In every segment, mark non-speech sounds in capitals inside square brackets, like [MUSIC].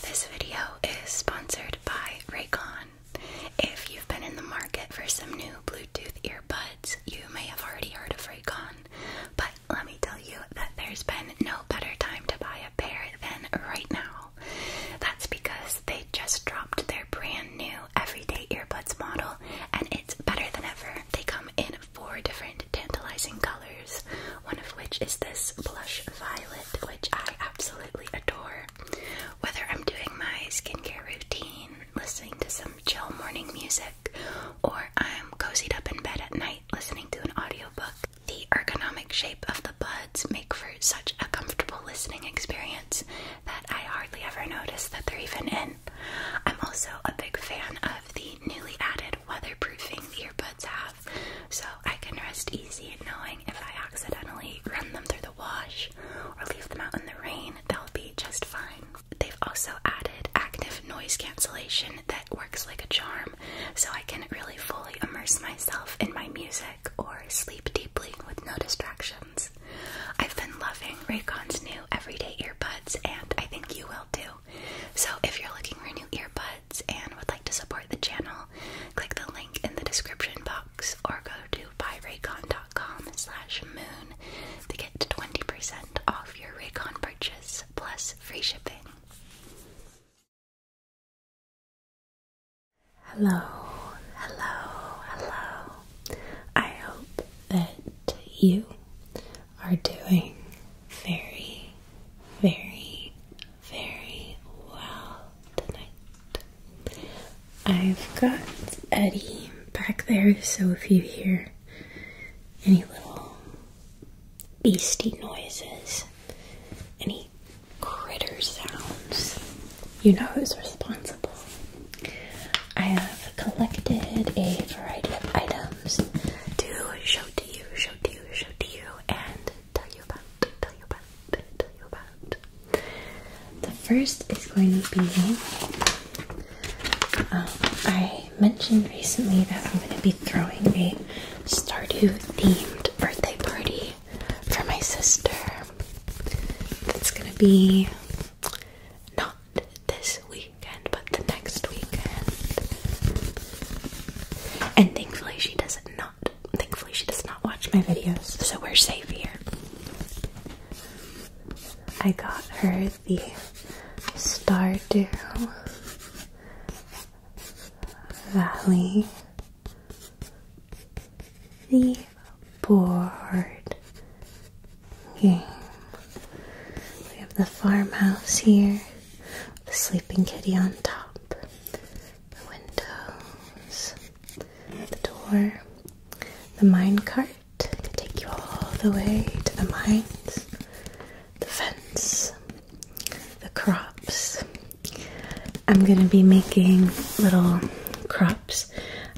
This video is sponsored by Raycon. If you've been in the market for some new Bluetooth earbuds, you may have already heard of Raycon, but let me tell you that there's been no better time to buy a pair than right now. That's because they just dropped their brand new everyday earbuds model and it's better than ever. They come in four different tantalizing colors one of which is this plush violet, which I absolutely adore. Whether I'm doing my skincare routine, listening to some chill morning music, or I'm cozied up in bed at night listening to an audiobook, the ergonomic shape of the buds make for such a comfortable listening experience that I hardly ever notice that they're even in. I'm also a big fan of the newly added weatherproofing the earbuds have so I can rest easy knowing if I accidentally run them through the wash or leave them out in the rain, they'll be just fine. They've also added active noise cancellation that works like a charm, so I can really fully immerse myself in my music or sleep deeply with no distractions. I've been loving Raycon's new everyday earbuds, and I think you will too. So if you're looking for new earbuds and would like to support the channel, click the link in the description box or go to buyraycon.com slash moon to get 20% off your Raycon purchase plus free shipping. Hello, hello, hello. I hope that you are doing very, very very well tonight. I've got Eddie back there, so if you hear any little beastie noises, any critter sounds, you know who's responsible. I have collected a variety of items to show to you, show to you, show to you, and tell you about, tell you about, tell you about. The first is going to be. Um, I mentioned recently that I'm going to be throwing a Stardew themed birthday party for my sister. That's going to be not this weekend, but the next weekend. And thankfully, she doesn't know. Thankfully, she does not watch my videos, so we're safe here. I got her the Stardew Valley, the board game. We have the farmhouse here, the sleeping kitty on top, the windows, the door, the mine cart, take you all the way to the mines, the fence, the crops. I'm gonna be making little crops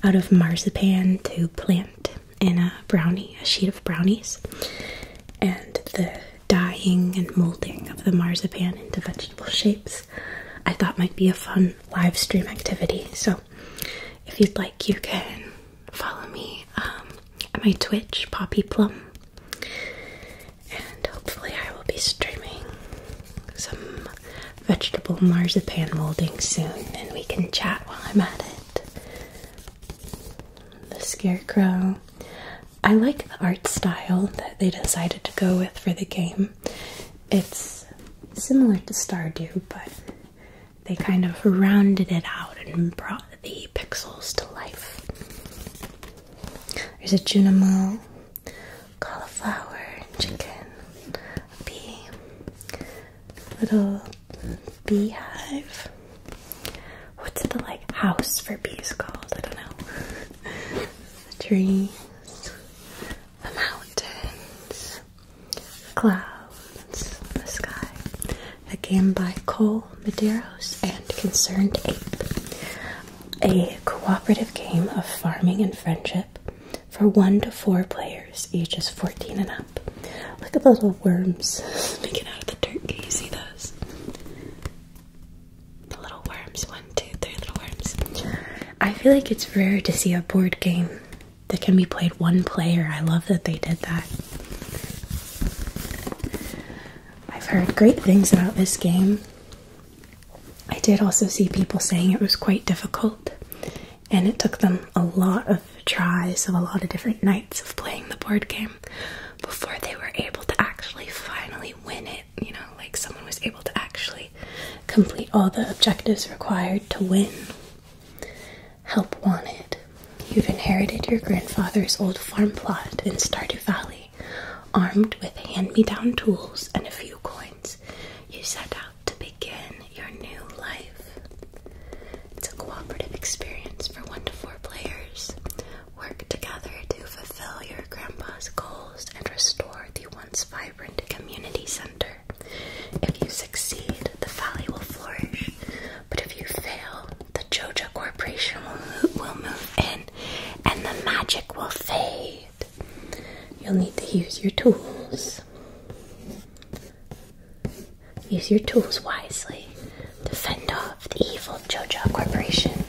out of marzipan to plant in a brownie, a sheet of brownies. And the Dying and molding of the marzipan into vegetable shapes I thought might be a fun live stream activity. So if you'd like, you can follow me um, at my Twitch, Poppy Plum. And hopefully, I will be streaming some vegetable marzipan molding soon, and we can chat while I'm at it. The scarecrow. I like the art style that they decided to go with for the game. It's similar to Stardew, but they kind of rounded it out and brought the pixels to life. There's a Junimo, cauliflower, chicken, bee, little beehive, what's the like house for bees called? I don't know. the [LAUGHS] trees, the mountains, the clouds, the sky. A game by Cole Madero's and Concerned Ape. A cooperative game of farming and friendship for one to four players, ages 14 and up. Look at the little worms making [LAUGHS] out of the dirt. Can you see those? The little worms. One, two, three little worms. I feel like it's rare to see a board game that can be played one player. I love that they did that. I've heard great things about this game. I did also see people saying it was quite difficult and it took them a lot of tries of a lot of different nights of playing the board game before they were able to actually finally win it. You know, like someone was able to actually complete all the objectives required to win. Help wanted. You've inherited your grandfather's old farm plot in Stardew Valley. Armed with hand me down tools and a few coins, you set out to begin your new life. It's a cooperative experience for one to four players. Work together to fulfill your grandpa's goals and restore the once vibrant community center. If you succeed, the valley will flourish, but if you fail, the Joja Corporation will, will move in and the magic will fade. You'll need to use your tools. Use your tools wisely. Defend off the evil JoJo Corporation.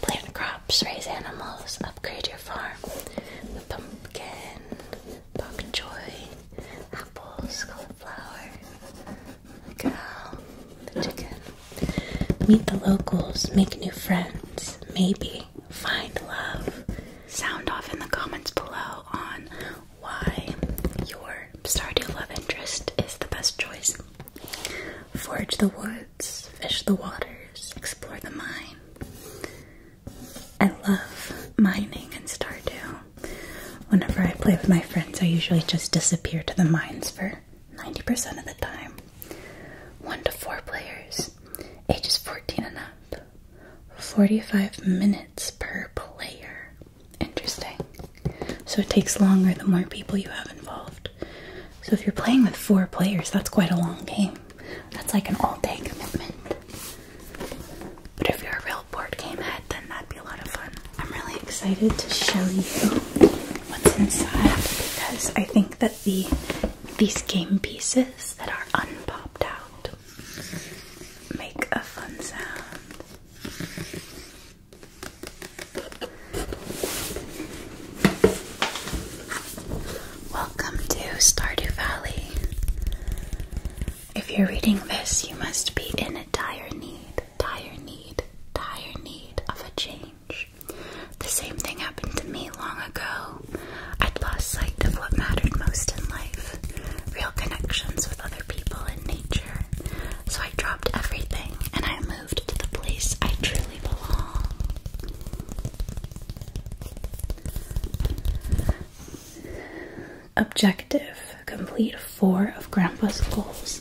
Plant crops, raise animals, upgrade your farm. The pumpkin, bok choy, apples, cauliflower, the cow, the chicken. Meet the locals, make new friends, maybe find love. Sound off in the comments below on why your Stardew love interest is the best choice Forage the woods, fish the waters, explore the mine. I love mining and Stardew. Whenever I play with my friends, I usually just disappear to the mines for 90% of the time. One to four players, ages 14 and up. 45 minutes per player. Interesting. So it takes longer the more people you have involved. So if you're playing with four players, that's quite a long game. That's like an all day commitment. But if you're a real board game head, then that'd be a lot of fun. I'm really excited to show you what's inside because I think that the these game pieces that are unpopped out make a fun sound. Welcome to Stardew Valley. If you're reading this, you must be in a dire need, dire need, dire need of a change. The same thing happened to me long ago. I'd lost sight of what mattered most in life real connections with other people and nature. So I dropped everything and I moved. Objective complete four of Grandpa's goals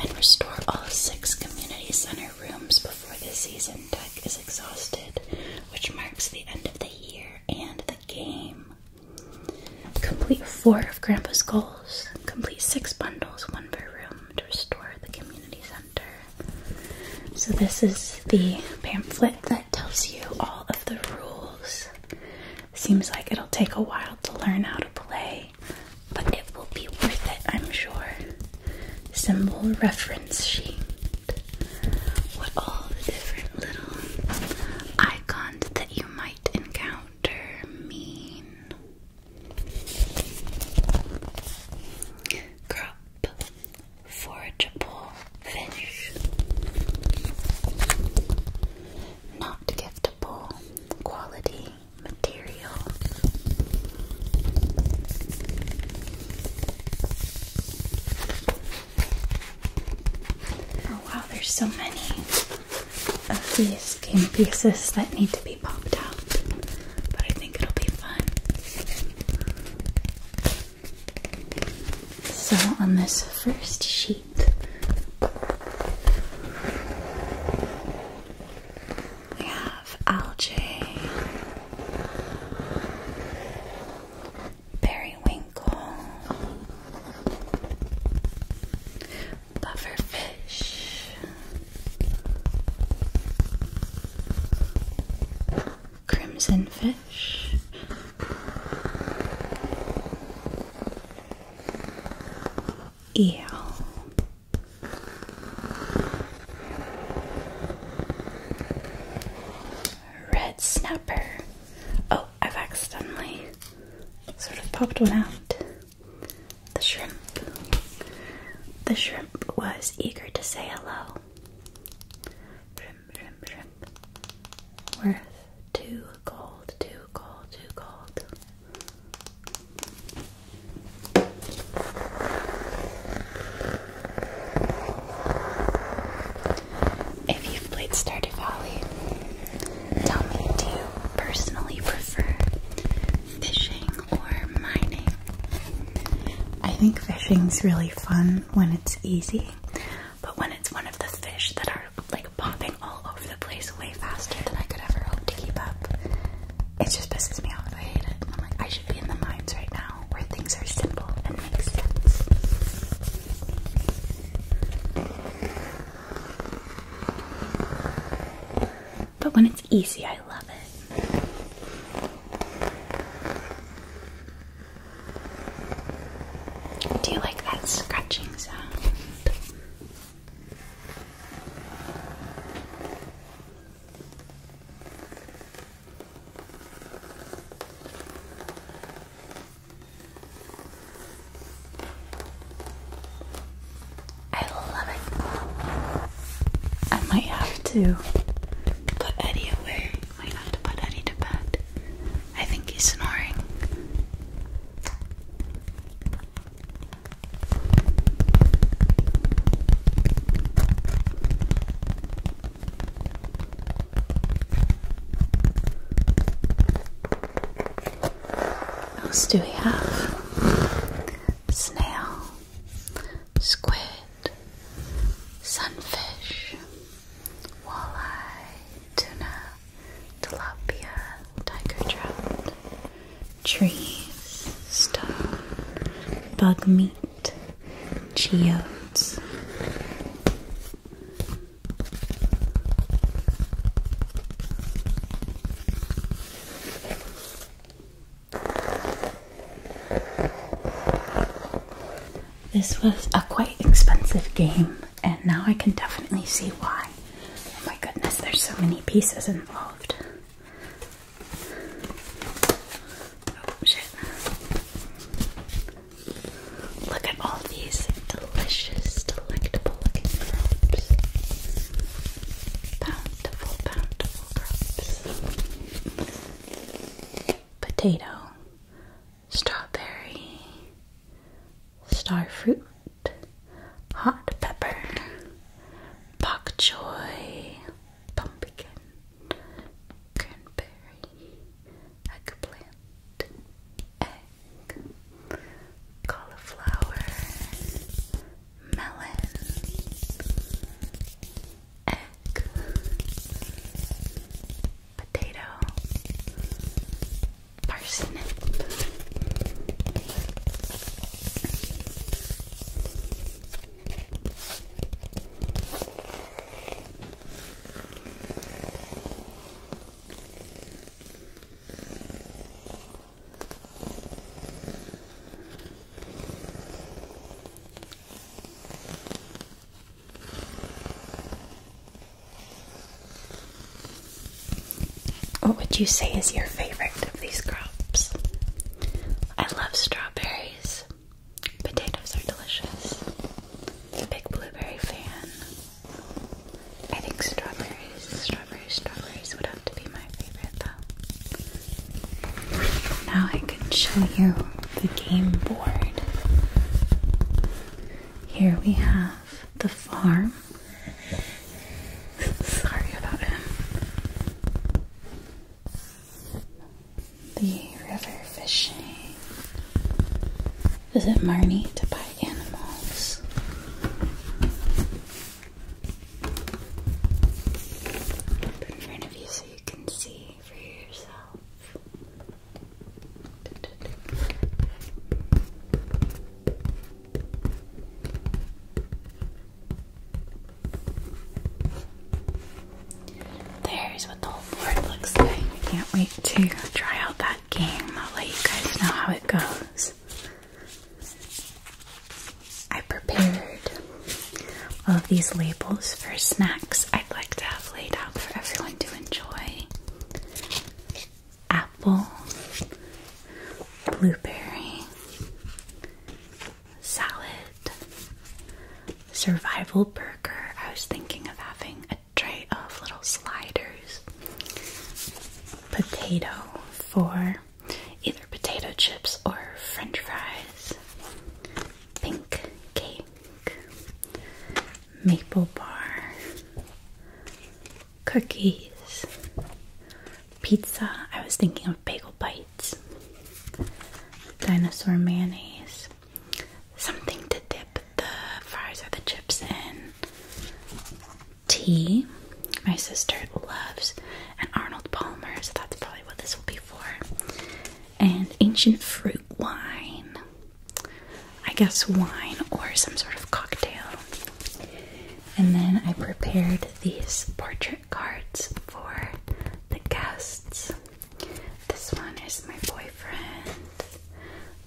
and restore all six community center rooms before the season deck is exhausted, which marks the end of the year and the game. Complete four of Grandpa's goals Complete six bundles, one per room, to restore the community center. So, this is the pamphlet that tells you all of the rules. Seems like it'll take a while to learn how to play, but it will be worth it, I'm sure. Symbol reference sheet. What all the different little icons that you might encounter mean. Crop forageable fish, not giftable quality material. Oh wow, there's so many of these game pieces that need to be popped out, but I think it'll be fun. So, on this first sheet, we have algae, periwinkle, fish, Crimson fish. Eel. Red snapper. Oh, I've accidentally sort of popped one out. The shrimp. The shrimp was eager to say hello. Shrimp, shrimp, shrimp. Worth two gold, two gold, two gold. If you played Stardew Valley, Tell me, do you personally prefer fishing or mining? I think fishing's really fun when it's easy, but when it's one of the fish that are like popping all over the place way faster than I could ever hope to keep up, it just pisses me off. I hate it. I'm like, I should be in the mines right now where things are simple and make sense. But when it's easy, I love it. Do you like that scratching sound? I love it. I might have to put Eddie away. Might have to put Eddie to bed. I think he's snoring. What else do we have? Snail, squid, sunfish, walleye, tuna, tilapia, tiger trout, trees, stone, bug meat, geodes. This was a quite expensive game, and now I can definitely see why. Oh my goodness, there's so many pieces involved. Oh shit. Look at all these delicious, delectable looking crops. Bountiful, bountiful crops. Potato, strawberry, star fruit, hot pepper, bok choy, pumpkin, cranberry, eggplant, egg cauliflower, melon, egg, potato, parsnip. What would you say is your favorite of these crops? I love strawberries. Potatoes are delicious. Big blueberry fan. I think strawberries, strawberries, strawberries would have to be my favorite though. Now I can show you the game board. Here we have the farm. Sorry about him. The river fishing. Is it Marnie to buy animals. Put in front of you so you can see for yourself. There's what the whole board looks like. can't wait to try out that game. I'll let you guys know how it goes. I prepared all of these labels for snacks I'd like to have laid out for everyone to enjoy. Apple, blueberry, salad, survival burger. I was thinking of having a tray of little sliders. Potato for either potato chips or french fries. Pink cake. Maple bar. Cookies. Pizza. I was thinking of bagel bites. Dinosaur mayonnaise. Something to dip the fries or the chips in tea. My sister loves and Arnold Palmer, so that's probably what this will be for. And ancient fruit wine. I guess wine or some sort of cocktail. And then I prepared these portrait cards for the guests. This one is my boyfriend.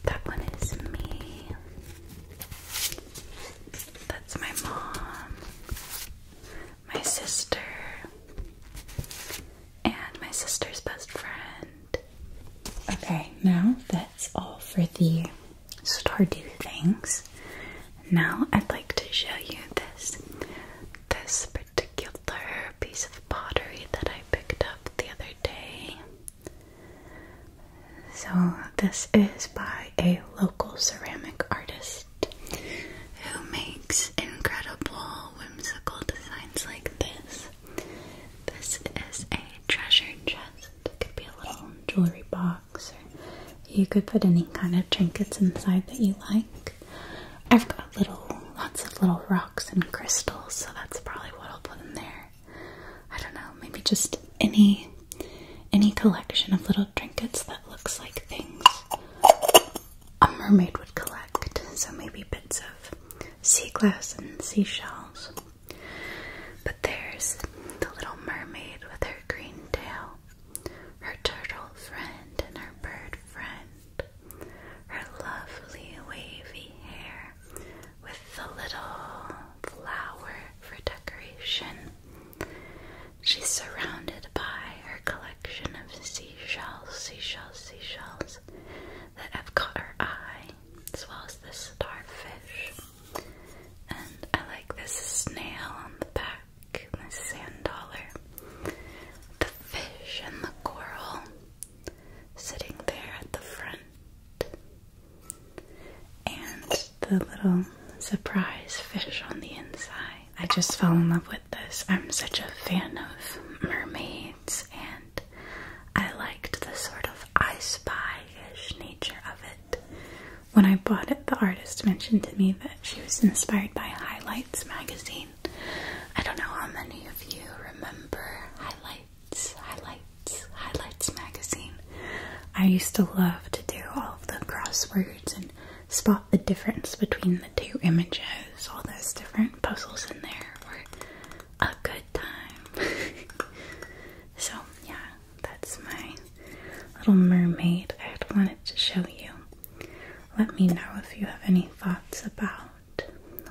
That one is me. That's my mom, my sister, and my sister's best friend. Okay, now that's all for the Stardew things. Now I'd like to show you this this particular piece of pottery that I picked up the other day. So, this is by a local ceramic artist who makes incredible whimsical designs like this. This is a treasure chest. It could be a little jewelry box, you could put any kind of trinkets inside that you like. I've got little, lots of little rocks and crystals, so that's probably what I'll put in there. I don't know, maybe just any any collection of little trinkets that looks like things a mermaid would collect. So maybe bits of sea glass and seashells. But there's the little mermaid with her green tail, her turtle friend and her bird friend, her lovely wavy hair, with the little flower for decoration. She's surrounded by her collection of seashells, seashells, seashells that have caught her eye, as well as the starfish. And I like this snail on the back, the sand dollar, the fish and the coral sitting there at the front and the little surprise fish on the inside. I just fell in love with this. I'm such a fan of mermaids, and I liked the sort of I spy ish nature of it. When I bought it, the artist mentioned to me that she was inspired by Highlights magazine. I don't know how many of you remember Highlights highlights, highlights, magazine. I used to love to do all of the crosswords and spot the difference between the two images. All those different puzzles in there were a good time. [LAUGHS] so, yeah, that's my little mermaid I wanted to show you. Let me know if you have any thoughts about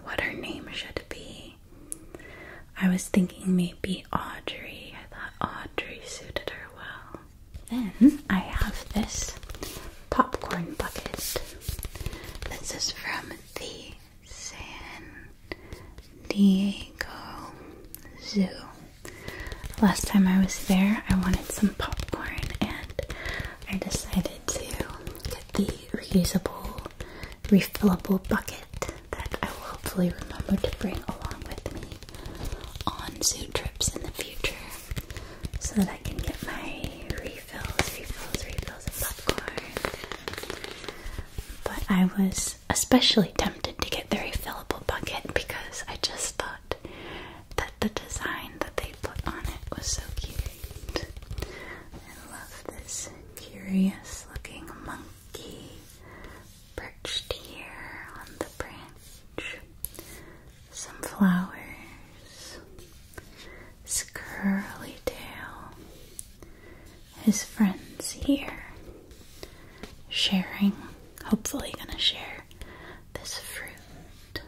what her name should be I was thinking maybe Audrey. I thought Audrey suited her well. Then I have this popcorn bucket. This is from the San Diego Zoo. Last time I was there, I wanted some popcorn and I decided to get the reusable, refillable bucket that I will hopefully remember to bring along with me on zoo trips in the future so that I can get my refills, refills, refills of popcorn. But I was especially tempted to get the refillable bucket because I just thought that the design that they put on it was so cute. I love this curious looking monkey perched here on the branch. Some flowers. His curly tail. His friends here. Sharing, hopefully, gonna share this fruit.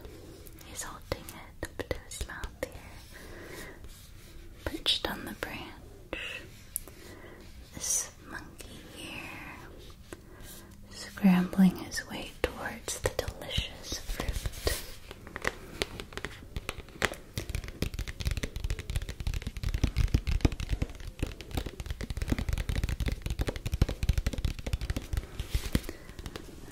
He's holding it up to his mouth here perched on the branch. This monkey here, scrambling his way towards the delicious fruit.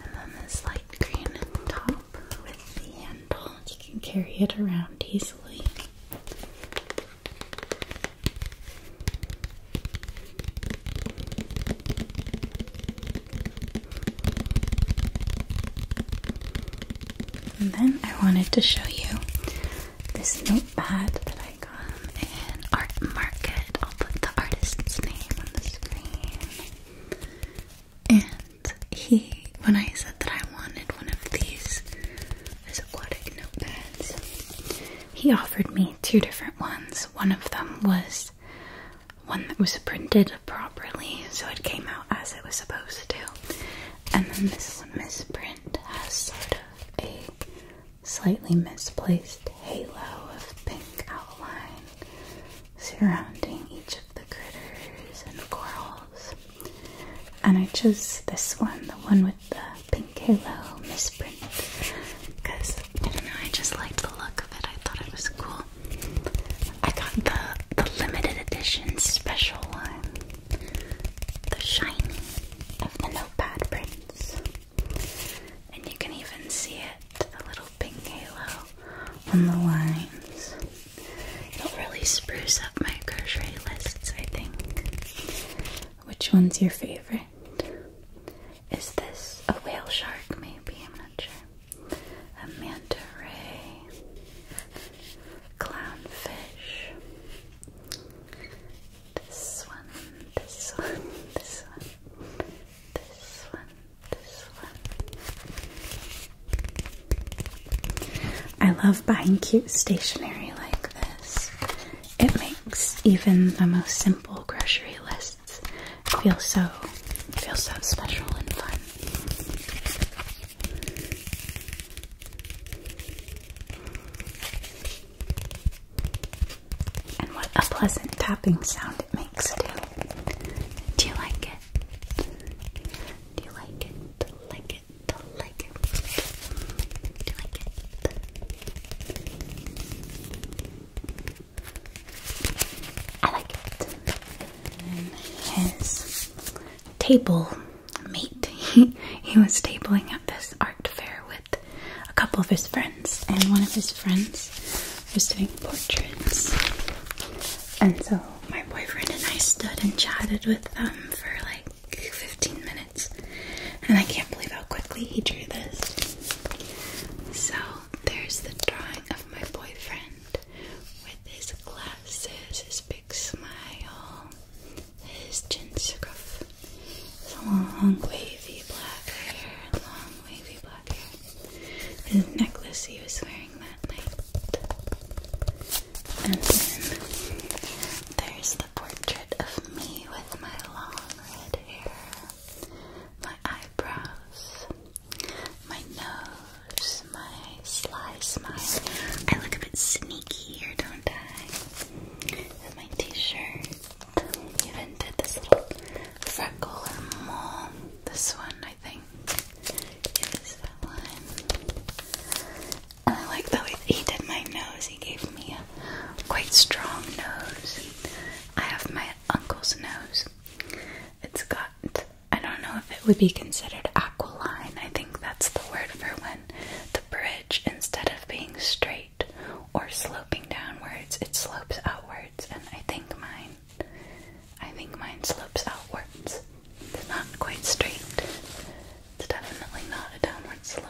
And then this light green top with the handle. You can carry it around easily. And then I wanted to show you this notepad that I got in Art Market. I'll put the artist's name on the screen. And he, when I said that I wanted one of these aquatic notepads, he offered me two different ones. One of them was one that was printed properly, so it came out as it was supposed to. And then this misprint has sort of a slightly misplaced halo of pink outline surrounding each of the critters and corals. And I chose this one, the one with the pink halo misprint, because I don't know, I just liked the look of it. I thought it was cool. I got the the limited edition special one, the shiny of the notepad prints, and you can even see it, the little pink halo on the lines. It'll really spruce up my grocery lists, I think. Which one's your favorite? Is this a whale shark, maybe? I'm not sure. A manta ray, clownfish. This one, this one, this one, this one, this I love buying cute stationery like this. It makes even the most simple grocery lists feel so feel so special and fun. And what a pleasant tapping sound it makes too. Do you like it? Do you like it? Like it? Like it? Do you like it? I like it. And his table mate, he, [LAUGHS] he was tabling at this art fair with a couple of his friends, and one of his friends was doing portraits, and so my boyfriend and I stood and chatted with them for like 15 minutes. And I can't believe how quickly he drew this. So there's the drawing of my boyfriend with his glasses, his big smile, his chin scarf, his long wavy black hair, long wavy black hair, his necklace he was wearing and then there's the portrait of me with my long red hair, my eyebrows, my nose, my sly smile. I look a bit sneaky here, don't I? With my t-shirt. Even did this little freckle and mole. This one, I think. I like the way he did my nose. He gave me a quite strong nose. I have my uncle's nose. It's got, I don't know if it would be considered aquiline. I think that's the word for when the bridge, instead of being straight or sloping downwards, it slopes outwards. And I think mine I think mine slopes outwards. It's not quite straight. It's definitely not a downward slope.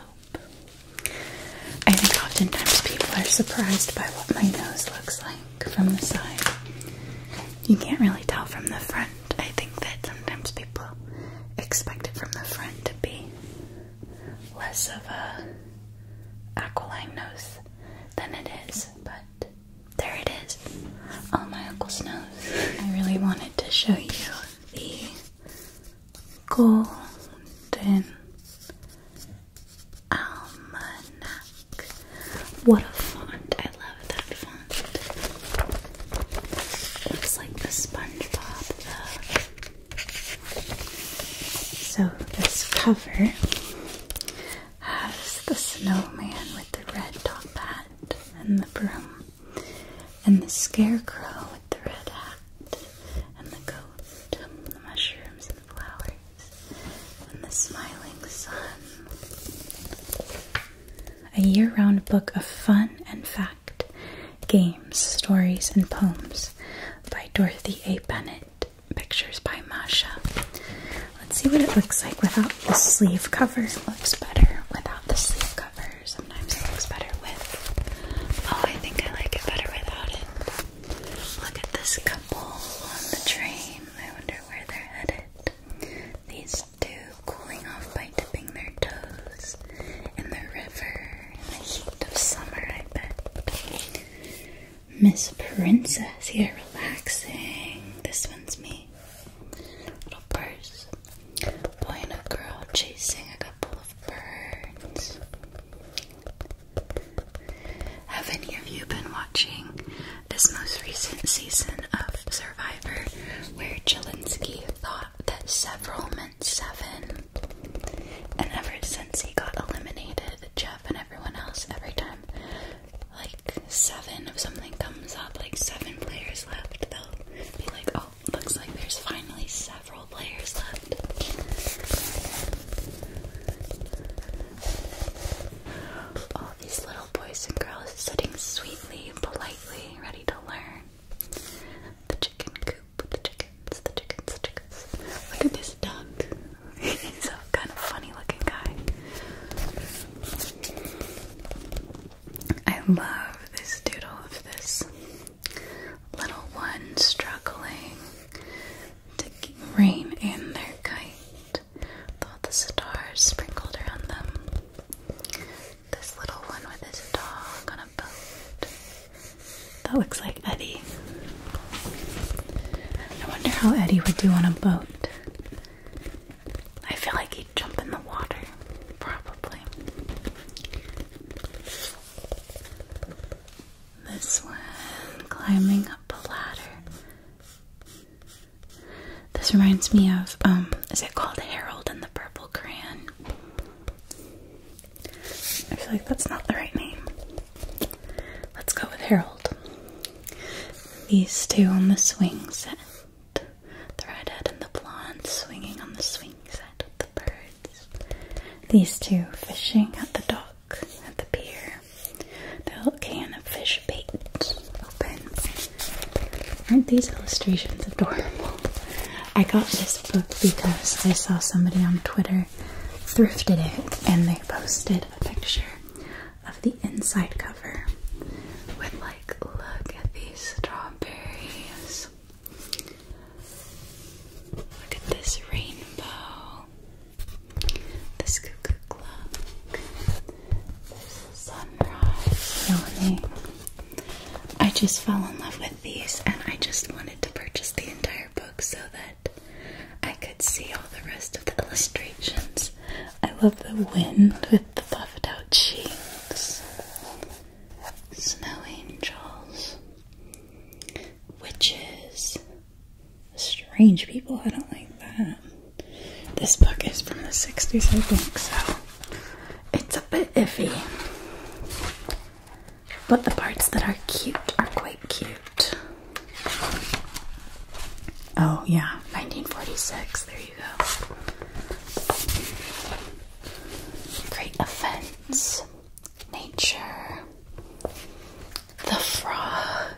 I think oftentimes people are surprised by what my nose looks like from the side. You can't really tell from the front. I think that sometimes people expect it from the front to be less of a aquiline nose than it is, but there it is. Oh, my uncle's nose. I really wanted to show you the golden almanac. What a font! I love that font. Looks like the SpongeBob So this cover as the snowman with the red top hat and the broom, and the scarecrow with the red hat and the goat, and the mushrooms and the flowers, and the smiling sun. A year round book of fun and fact, games, stories, and poems by Dorothy A. Bennett. Pictures by Masha. Let's see what it looks like without the sleeve cover. looks better without the sleeve cover. Sometimes it looks better with. Oh, I think I like it better without it. Look at this couple on the train. I wonder where they're headed. These two cooling off by dipping their toes in the river in the heat of summer, I bet. Miss Princess here relaxing. This one's me. Little purse. Boy and a girl chasing a couple of birds. Have any of you been watching this most recent season of Survivor where Jelinski thought that several meant seven? And ever since he got eliminated, Jeff and everyone else, every time like seven if something comes up, like seven players left, they'll be like, oh, looks like there's finally several players left. All these little boys and girls sitting sweetly, politely, ready to learn. The chicken coop, the chickens, the chickens, the chickens. Look at this duck. He's a kind of funny looking guy. I love this doodle of this little one struggling to rein in their kite with the stars sprinkled around them. This little one with his dog on a boat. That looks like Eddie. I wonder how Eddie would do on a boat. I feel like he'd jump in the water, probably. This one, climbing up a ladder. This reminds me of, um, is it called Harold and the Purple Crayon? I feel like that's not the right name. Let's go with Harold. These two on the swing set. The redhead and the blonde swinging on the swing set with the birds. These two fishing at the dock, at the pier. The little can of fish bait open. Aren't these illustrations adorable? I got this book because I saw somebody on Twitter thrifted it and they posted a picture of the inside cover with like look at these strawberries. Look at this rainbow. This cuckoo clock. This sunrise I just fell in love with these and I just wanted to purchase the entire book so that I could see all the rest of the illustrations I love the wind with the puffed out cheeks. Snow angels, witches, strange people. I don't like that. This book is from the 60s, I think, so it's a bit iffy. But the parts that are cute are quite cute. Oh, yeah, 1946. There you go. Great offense. Nature. The frog.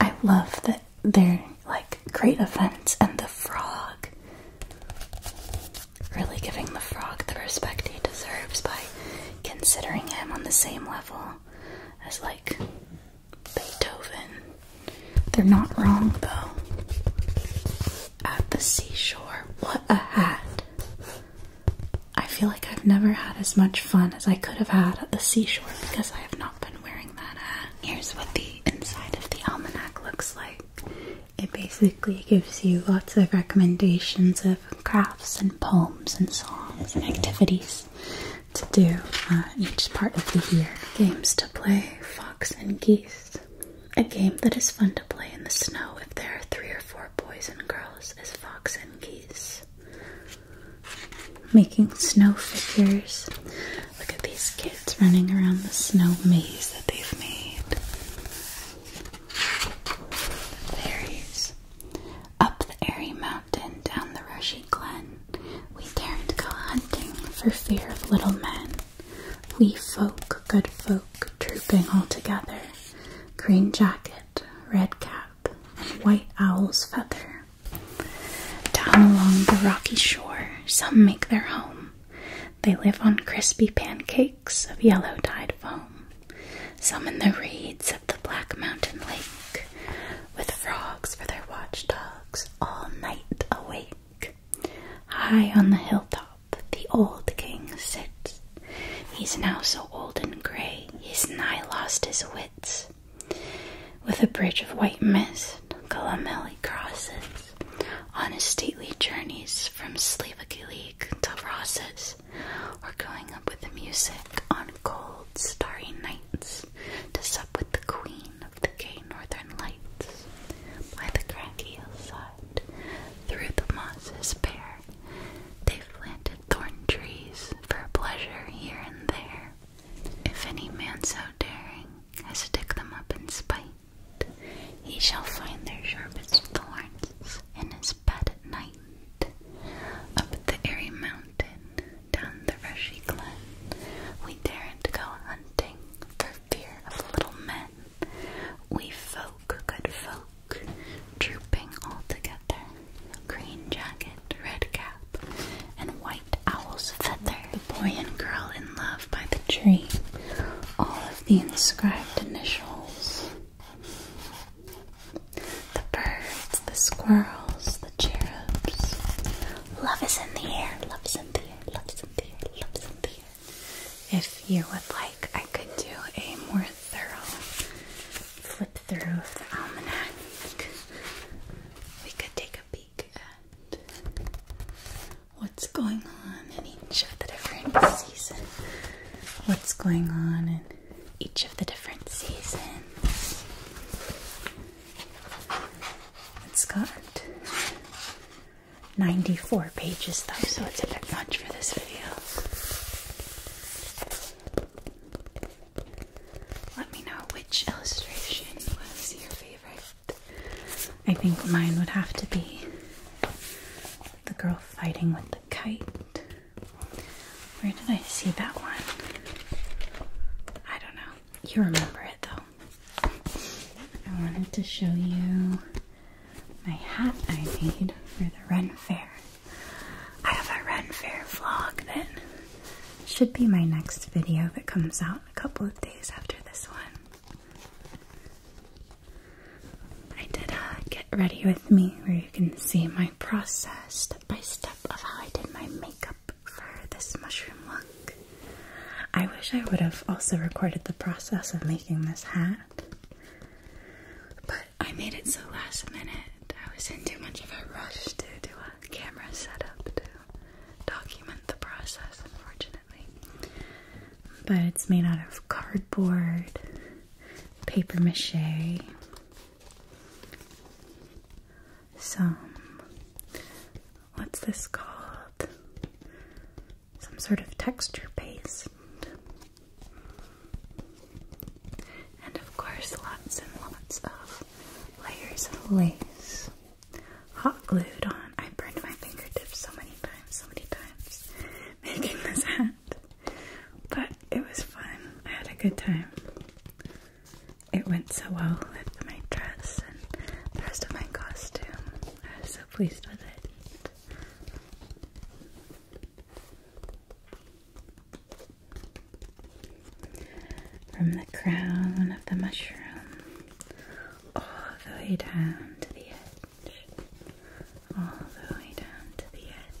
I love that they're like great offense and the frog. Really giving the frog the respect he deserves by considering him on the same level as like Beethoven. They're not wrong though. At the seashore. What a hat. I feel like I've never had as much fun as I could have had at the seashore because I have not been wearing that hat. Here's what the inside of the almanac looks like. It basically gives you lots of recommendations of crafts and poems and songs and activities to do uh, each part of the year. Games to play, fox and geese. A game that is fun to play in the snow if there are three or four boys and girls is fox and geese. Making snow figures. Look at these kids running around the snow maze that they've made. Fairies. Up the airy mountain, down the rushy glen, we daren't go hunting for fear of little men. We folk, good folk, trooping all together, green jacket, red cap, and white owl's feather. Down along the rocky shore, some make their home. They live on crispy pancakes of yellow dyed foam. Some in the reeds of the black mountain lake, with frogs for their watchdogs all night awake. High on the hilltop, the old king sits. He's now so old and gray, he's nigh lost his wits. With a bridge of white mist, Columelli crosses on his stately journeys from Slivakilig to Rosses, or going up with the music on cold, starry nights to sup with the queen of the gay northern lights by the craggy hillside through the mosses bare. They've planted thorn trees for pleasure here and there. If any man so daring as to dig them up in spite, he shall find their sharpest thorns in his bed at night. Up the airy mountain down the rushy glen. We daren't go hunting for fear of little men. We folk, good folk, trooping all together. Green jacket, red cap, and white owl's feather. The boy and girl in love by the tree. All of the inscribed initials. The birds, the squirrels, the cherubs. Love is in the air, love is in the air, love is in the air, love is in the air. If you would like, I could do a more thorough flip through of the almanac. We could take a peek at what's going on in each of the different seasons. What's going on in each of the different seasons. It's got 94 pages though, so it's a bit much for this video. Let me know which illustration was your favorite. I think mine would have to be the girl fighting with the kite. Where did I see that one? I don't know. You remember it though. I wanted to show you my hat I made for the Ren Fair. I have a Ren Fair vlog then. should be my next video that comes out a couple of days after this one. I did uh, get ready with me where you can see my processed step by step of how I did my makeup for this mushroom look. I wish I would have also recorded the process of making this hat, but I made it so last minute. I was in too much of a rush to do a camera setup to document the process, unfortunately. But it's made out of cardboard, paper mache, some what's this called? Some sort of texture paste. And of course, lots and lots of layers of lace hot glued on. I burned my fingertips so many times, so many times [LAUGHS] making this hat. But it was fun. I had a good time it went so well with my dress and the rest of my costume. I was so pleased with it. From the crown of the mushroom all the way down to the edge, all the way down to the edge.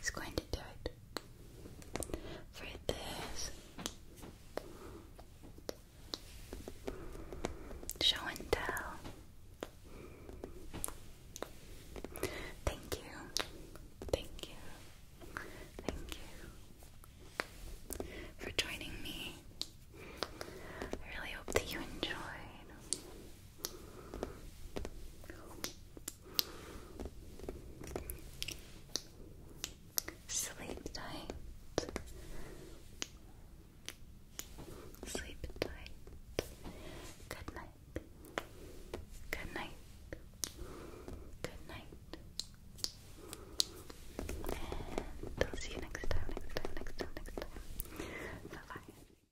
He's going to do it. For this show and tell. Thank you. Thank you. Thank you for joining me. I really hope that you enjoyed. Sleep tight. Sleep tight. Good night. Good night. Good night. And I'll see you next time, next time, next time, next time. Bye